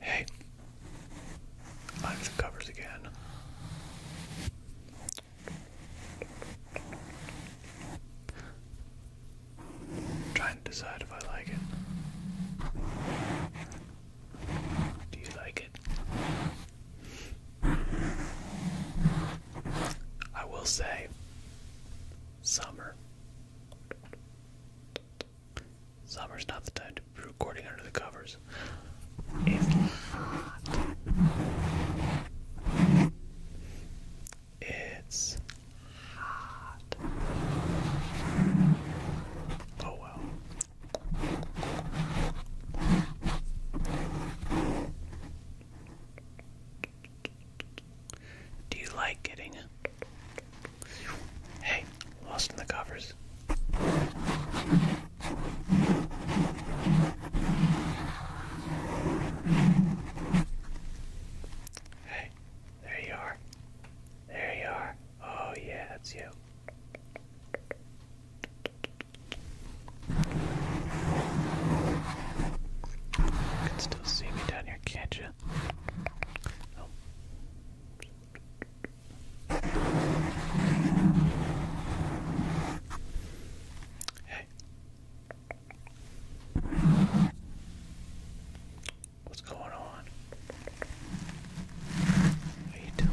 Hey, I'm the covers again. trying to decide if I like it. Do you like it? I will say, summer Summer's not the time to be recording under the covers. It's hot. It's hot. Oh well. Do you like getting Hey, lost in the covers. Hey, there you are. There you are. Oh, yeah, that's you. I can still see me down down here, can't you? Hey. What's going on? What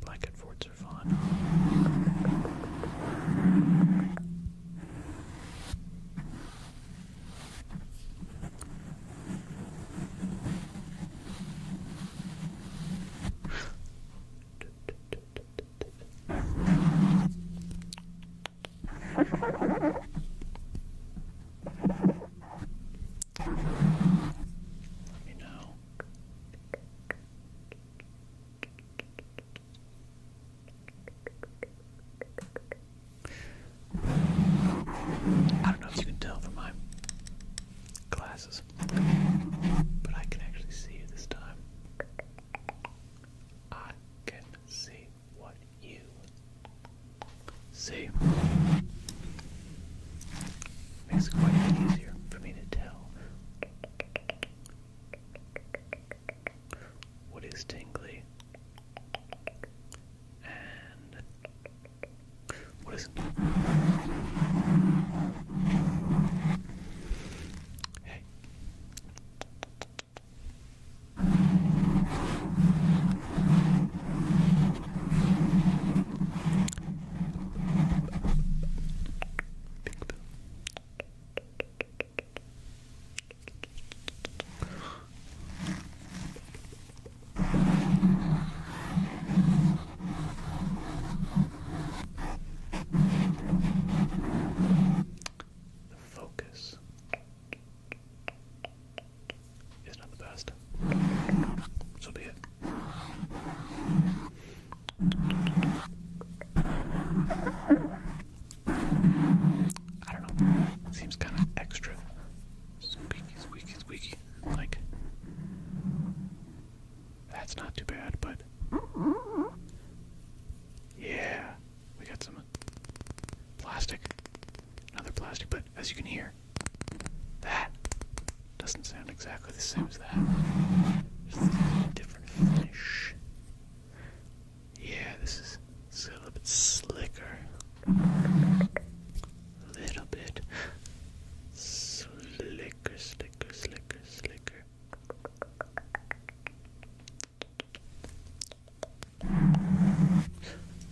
Black and Ford's are fun. Let me know I don't know if you can tell from my glasses, but I can actually see you this time. I can see what you see. Makes it a bit easier for me to tell what is tingly? And what is Hey. Big Bill. The focus is not the best. So be it. I don't know. Seems kind of extra. Squeaky, squeaky, squeaky. Like, that's not too bad, but. Yeah, we got some plastic. Another plastic, but as you can hear, that doesn't sound exactly the same as that. different finish. Yeah, this is a little bit slicker. A little bit slicker, slicker, slicker, slicker.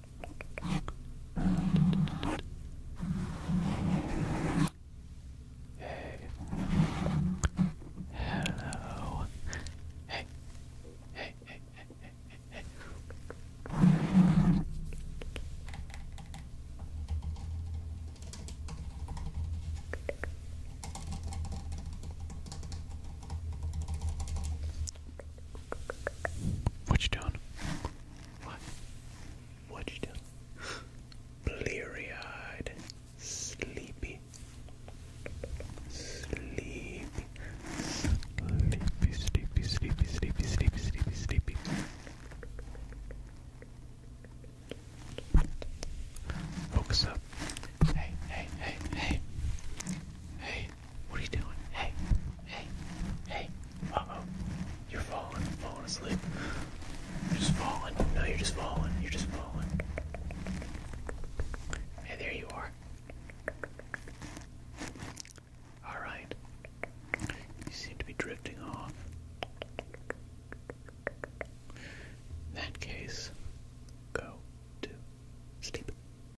Hey. Hello. Hey. Hey, hey, hey, hey, What you doing? What? What'd you do? Bleary eyed, sleepy, sleepy, sleepy, sleepy, sleepy, sleepy, sleepy, sleepy, sleepy. Focus up. Hey, hey, hey, hey. Hey, what are you doing? Hey, hey, hey. Uh oh. You're falling, falling asleep. You're just falling. No, you're just falling. You're just falling. Hey, there you are. Alright. You seem to be drifting off. In that case, go to sleep.